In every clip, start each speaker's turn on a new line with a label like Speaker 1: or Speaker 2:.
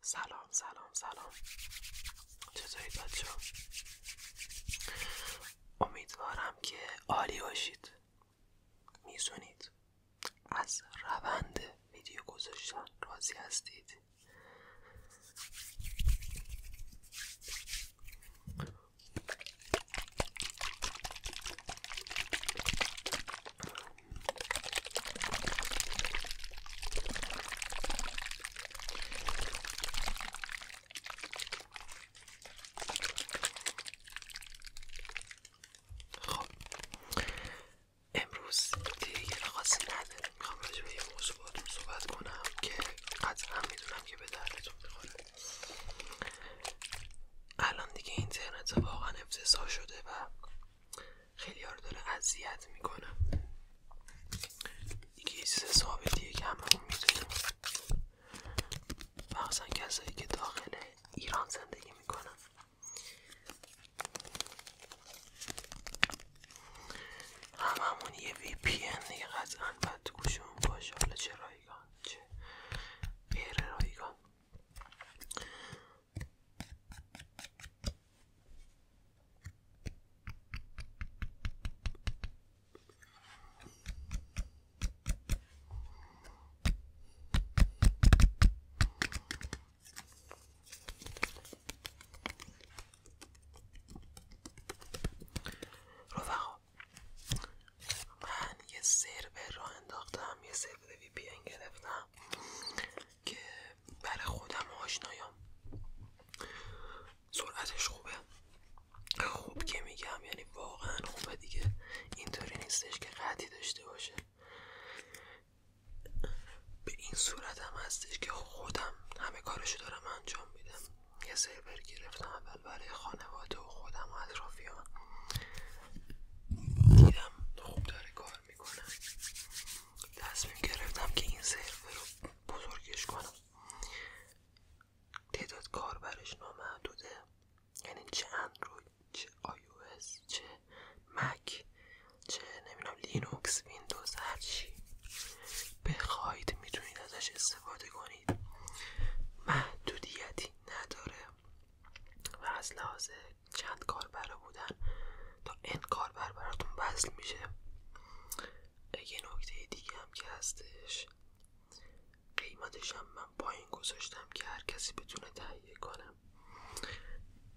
Speaker 1: سلام سلام سلام چطورید بچه امیدوارم که عالی باشید میزونید از روند ویدیو گذاشتن راضی هستید خب امروز دیگه یه خاصی نداریم میخوام راجع به یه موضوع باتون صحبت کنم که قطعا میدونم که به دردتون میخوره الان دیگه اینترنت واقعا افتضاح شده و خیلی ها داره اذیت میکنه دیگه یه چیز ثابتیه که همه اون میدونیم مخصوصا کسایی که داخل ایران زندگی میکنن هممون یه وی پی ان دیگه قطعا باید باشه حالا چه رایگان چه غیر رایگان رفقا من یه سرور را انداختم یه سر. وی گرفتم که برای خودم آشنایام سرعتش خوبه خوب که میگم یعنی واقعا خوبه دیگه اینطوری نیستش که قطعی داشته باشه به این صورتم هستش که خودم همه کارشو دارم انجام میدم یه سرور گرفتم اول برای خانواده و خودم و اطرافیان دیدم خوب داره کار میکنه تصمیم گرفتم که این سرور رو بزرگش کنم تعداد کار برش نامحدوده یعنی چه اندروید چه آی چه مک چه نمیدونم لینوکس ویندوز هرچی بخواید میتونید ازش استفاده کنید محدودیتی نداره و از لحاظ چند کار برا بودن تا این کاربر براتون وصل میشه یه نکته دیگه هم که هستش قیمتش هم من پایین گذاشتم که هر کسی بتونه تهیه کنم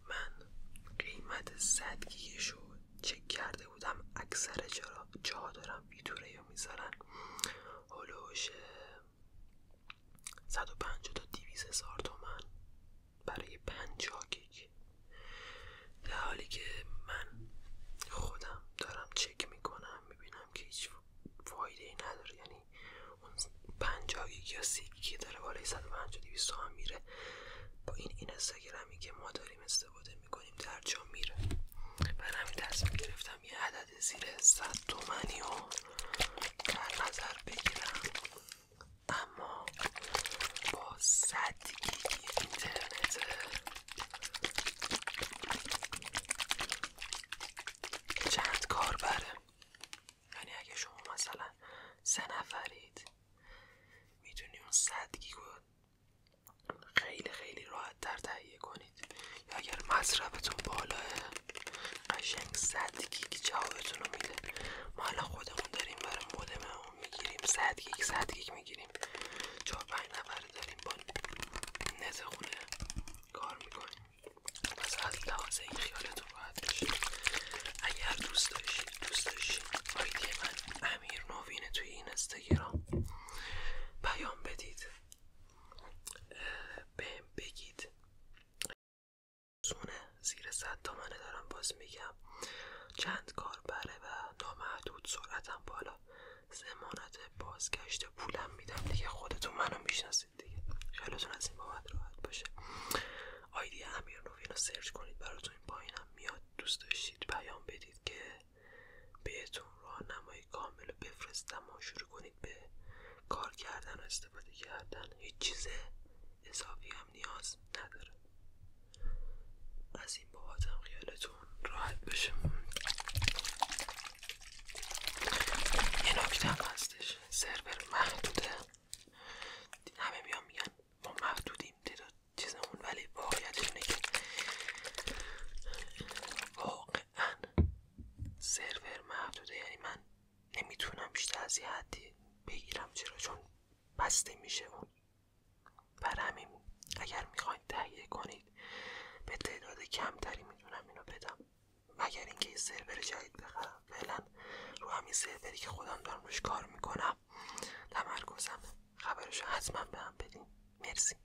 Speaker 1: من قیمت صدگیش رو چک کرده بودم اکثر جا, دارم ویدیو رو میذارن هلوش 150 تا 200 هزار تومن برای 50 گیگ در حالی که من خودم دارم چک میکنم میبینم که هیچ فایده ای نداره یعنی اون 50 گیگ یا 30 گیگ داره بالای 150 200 هم میره با این این استگرامی که ما داریم استفاده میکنیم در جا میره من همین تصمیم گرفتم یه عدد زیر 100 تومنی رو در نظر بگیرم اما با 100 گیگ اینترنت چند کار بره یعنی اگه شما مثلا سه نفرید میتونی اون 100 خیلی خیلی راحت در تهیه کنید یا اگر مصرفتون بالاه قشنگ صد گیگ جوابتون رو میده ما الان خودمون داریم برای مودممون میگیریم صد گیگ صد میگیریم چهار پنج نفره داریم با نت خونه کار میکنیم پس از لحاظ این خیالتون راحت باشید اگر دوست داشتید دوست داشتید آیدی من امیر نوینه توی این استگرام بدید بهم بگید سونه زیر صد تومنه دارم باز میگم چند کار بره و نامحدود سرعتم بالا زمانت بازگشت پولم میدم دیگه خودتون منو میشناسید دیگه خیالتون از این بابت راحت باشه آیدی امیر نوین رو سرچ کنید براتون این پایینم میاد دوست داشتید پیام بدید که بهتون راهنمای کامل رو بفرستم و شروع کنید به کار کردن و استفاده کردن هیچ چیز اضافی هم نیاز نداره از این هم خیالتون راحت بشه یه هستش سرور محدوده همه میان میگن ما محدودیم چیزمون ولی واقعیتش اینه که قطعا سرور محدوده یعنی من نمیتونم بیشتر از حدی بگیرم چرا چون بسته میشه اون بر همین اگر میخواید تهیه کنید به تعداد کمتری میتونم اینو بدم مگر اینکه یه سرور جدید بخرم فعلا رو همین سروری که خودم دارم روش کار میکنم تمرکزم خبرشو حتما به هم بدین مرسی